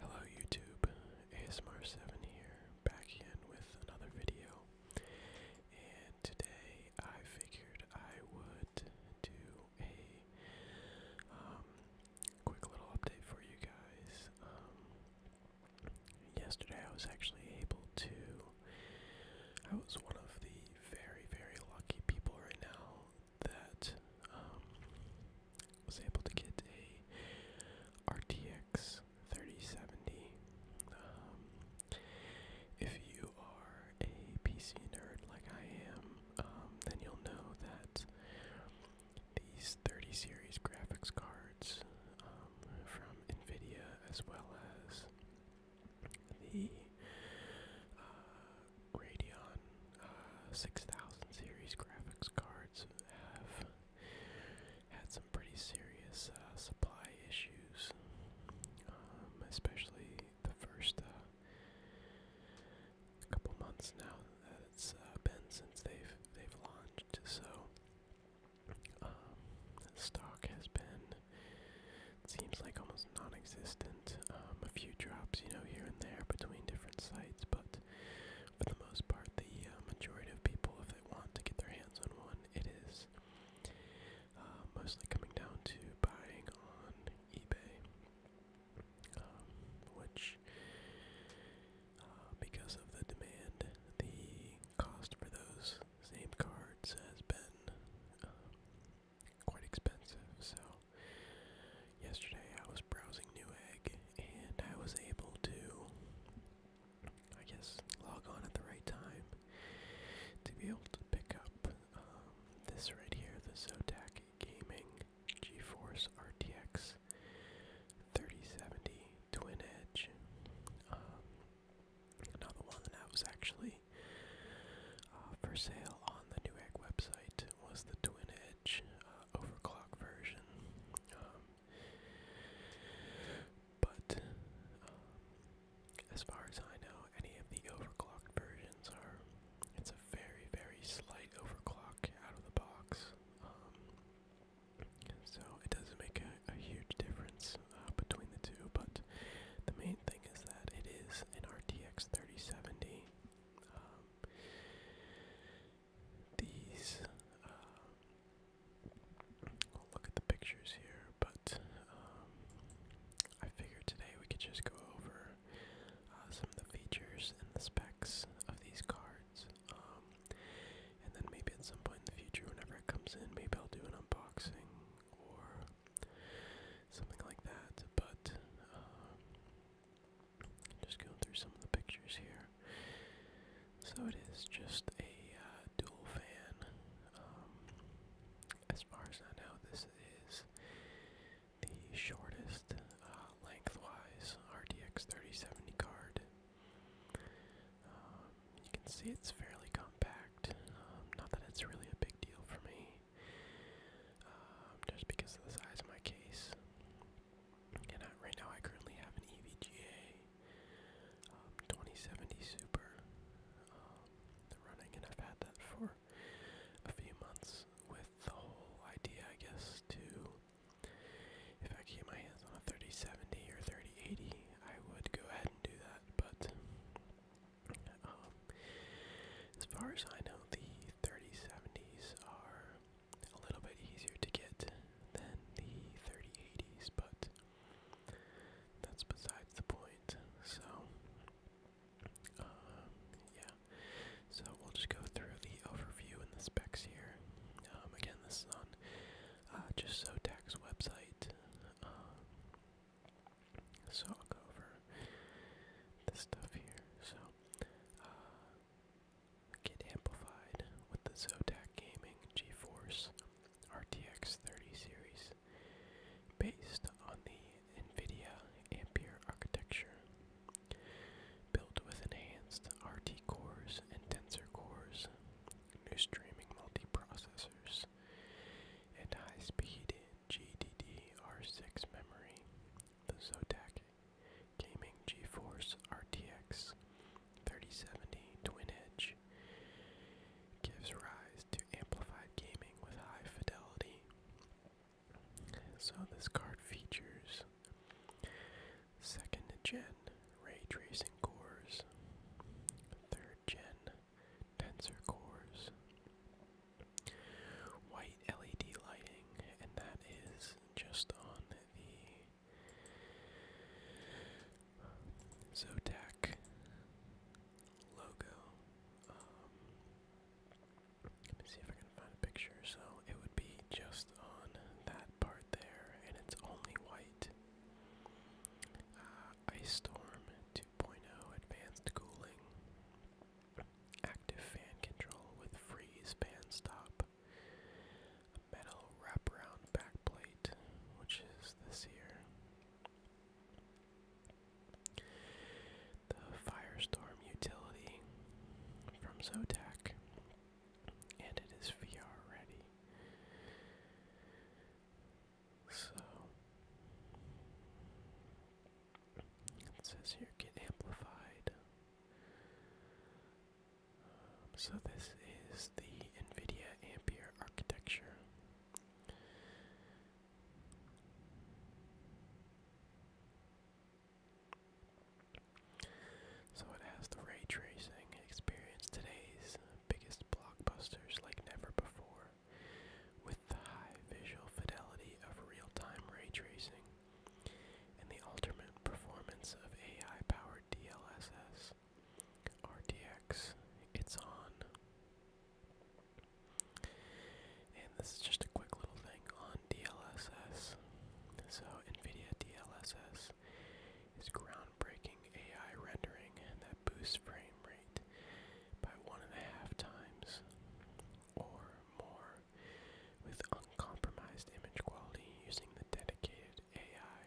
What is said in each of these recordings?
Hello YouTube, ASMR7 here, back again with another video. And today I figured I would do a um, quick little update for you guys. Um, yesterday I was actually able to, I was one of the very, very lucky people right now that um, was able to get a RTX 3070. Um, if you are a PC nerd like I am, um, then you'll know that these 30 series graphics cards um, from NVIDIA, as well as the uh, Radeon uh, 6000 series graphics cards have had some pretty serious uh, supply issues, um, especially the first uh, couple months now that it's uh, been since they've they've launched. So um, stock has been it seems like almost non-existent. Um, a few drops, you know, here and there between different sites, but for the most part, the uh, majority of people, if they want to get their hands on one, it is uh, mostly coming down to buying on eBay, um, which, uh, because of the demand, the cost for those same cards has been um, quite expensive. So yesterday I was browsing Newegg and I was able to, I guess, log on at the right time to be able to pick up um, this right here, the Zotac Gaming GeForce RTX 3070 Twin Edge. Um, another one that was actually uh, for sale on the Newegg website was the Twin Edge uh, overclock version. Um, but um, as far as I know, any of the overclocked versions are. It's a very, very slight overclock out of the box. Um, so it doesn't make a, huge difference uh, between the two, but the main thing is that it is an RTX 3070 um, these, uh, look at the pictures here, but um, I figured today we could just go over uh, some of the features and the specs of these cards. Um, and then maybe at some point in the future, whenever it comes in, maybe I'll do an unboxing or something like that. But just going through some of the pictures here. So it is just a uh, dual fan. Um, as far as I know, this is the shortest uh, lengthwise RTX 3070 card. Um, you can see it's fairly compact. Um, not that it's really a big deal for me um, just because of the size of my case. And I, right now, I currently have an EVGA um, 2070 Super um, running, and I've had that for a few months with the whole idea, I guess, to if I could get my hands on a 3070 or 3080, I would go ahead and do that. But um, as far as I know, the 3070s are a little bit easier to get than the 3080s, but that's besides the point. So, uh, yeah. So we'll just go through the overview and the specs here. Um, again, this is on uh, just so Tech's website. Um, so I'll go over this stuff here. So uh, get amplified with the Zotac Gaming GeForce RTX 30 series based on the NVIDIA Ampere architecture. Built with enhanced RT cores and tensor cores, new streaming multiprocessors, and high speed GDDR6 memory, the Zotac Gaming GeForce RTX 3070 Twin Edge gives rise to amplified gaming with high fidelity. So this card features second gen ray tracing cores, third gen tensor cores, white LED lighting, and that is just on the Zotac logo. Um, let me see if I can find a picture. So it would be just on that part there, and it's only white. Uh, Ice Storm 2.0 Advanced Cooling. Active fan control with freeze pan stop. metal wraparound backplate, which is this here. The Firestorm utility from Zotac, and it is VR ready. So it says here get amplified. Um, so this is the NVIDIA Ampere architecture. So it has the ray tracing experience today's biggest blockbusters like never before, with the high visual fidelity of real-time ray tracing and the ultimate performance of AI-powered DLSS. RTX, it's on. And this is just a quick little thing on DLSS. So NVIDIA DLSS is groundbreaking AI rendering that boosts frame rate by one and a half times or more with uncompromised image quality using the dedicated AI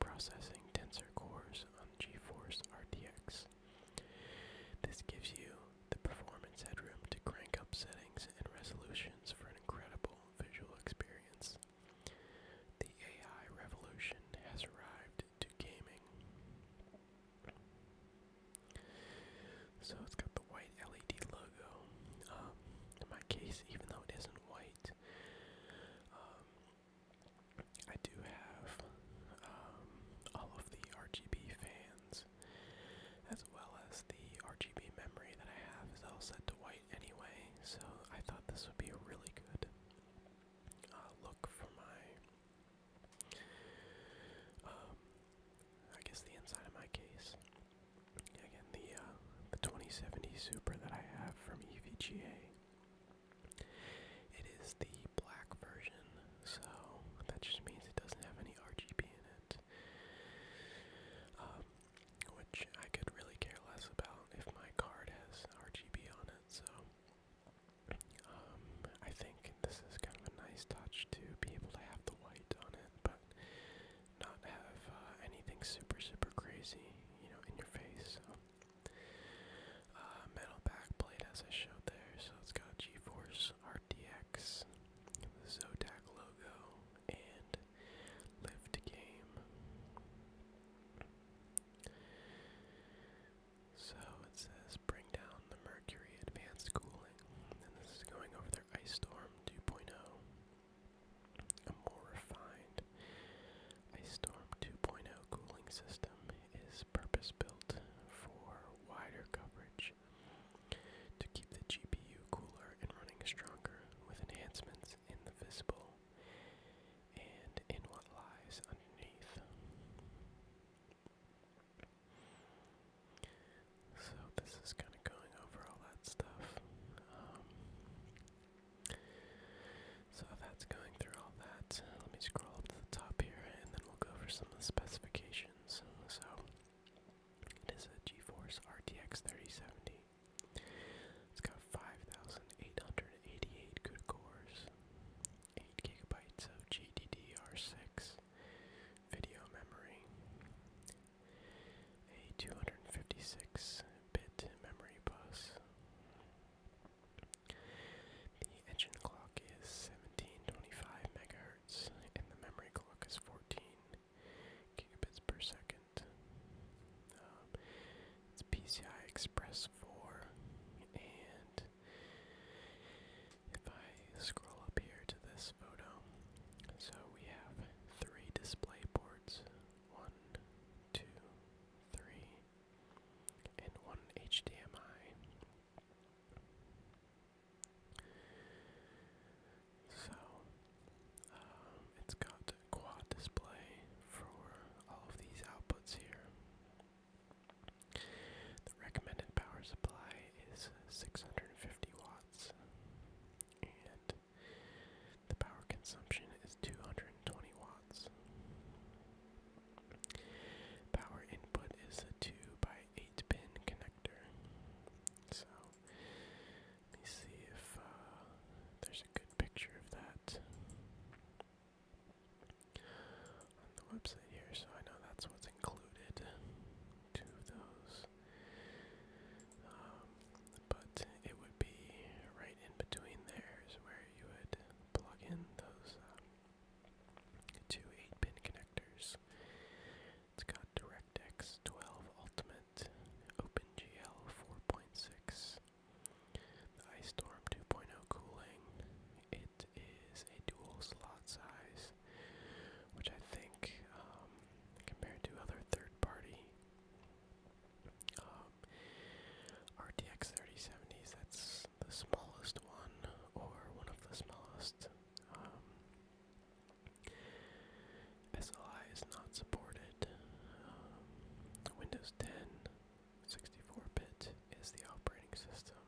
processing tensor cores on GeForce RTX. This gives you the performance headroom to crank up settings and resolutions for an incredible visual experience. The AI revolution has arrived to gaming. So it's got the white LED logo. Um, in my case, even though it isn't white, um, I do have um, all of the RGB fans, as well as the RGB memory that I have is all set to white anyway. So I thought this would be a really good uh, look for my I guess the inside of my case. Again, the uh, the 2070 Super that I have from EVGA. It is the black version, so that just means it doesn't have any RGB in it, um, which I could really care less about if my card has RGB on it. So um, I think this is kind of a nice touch to be able to have the white light on it, but not have uh, anything super, super crazy, you know, in your face. So. Uh, metal backplate, as I showed there, so it's got GeForce RTX, the Zotac logo, and Lift Game. So it says bring down the Mercury Advanced Cooling, and this is going over the Ice Storm 2.0. A more refined Ice Storm 2.0 cooling system is purpose built for wider coverage to keep the GPU cooler and running stronger with enhancements in the visible and in what lies underneath. So this is kind of going over all that stuff. Um, so that's going through all that. Let me scroll up to the top here, and then we'll go for some of the specifications. So it is a GeForce RTX 3070. It's got 5,888 good cores, 8 gigabytes of GDDR6, video memory, a 256-bit memory bus. The engine clock is 1725 megahertz, and the memory clock is 14 gigabits per second. Um, it's PCI Express 4, and if I scroll up here to this photo, so we have three display ports, one, two, three, and one HDMI. So, um, it's got quad display for all of these outputs here. The recommended power supply is 650 50 watts, and the power consumption is 220 watts. Power input is a 2 by 8 pin connector. So, let me see if uh, there's a good picture of that on the website here, so I know that's what's included two of those. Um, but it would be right in between there is where you would plug in those um, two 8-pin connectors. It's got DirectX 12 Ultimate, OpenGL 4.6, the iStorm 2.0 cooling. It is a dual slot size which I think, um, compared to other third-party um, RTX 3070s, that's the smallest one or one of the smallest. Um, SLI is not supported. Windows 10 64-bit is the operating system.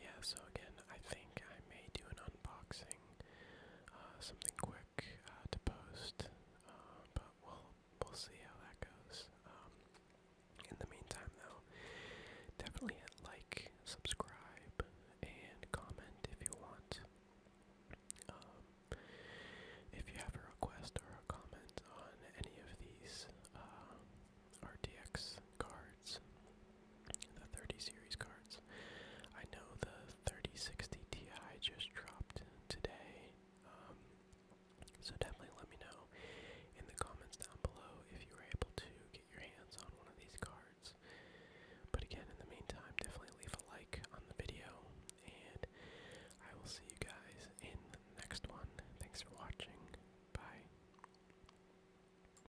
yeah, so again, I think I may do an unboxing, uh, something quick uh, to post, uh, but we'll we'll see how that goes. Um, in the meantime, though, definitely hit like, subscribe, and comment if you want. Um, if you have a request or a comment on any of these uh, cards, the 30 series cards. I know the 3060 Ti just dropped today, um, so definitely let me know in the comments down below if you were able to get your hands on one of these cards. But again, in the meantime, definitely leave a like on the video, and I will see you guys in the next one. Thanks for watching. Bye.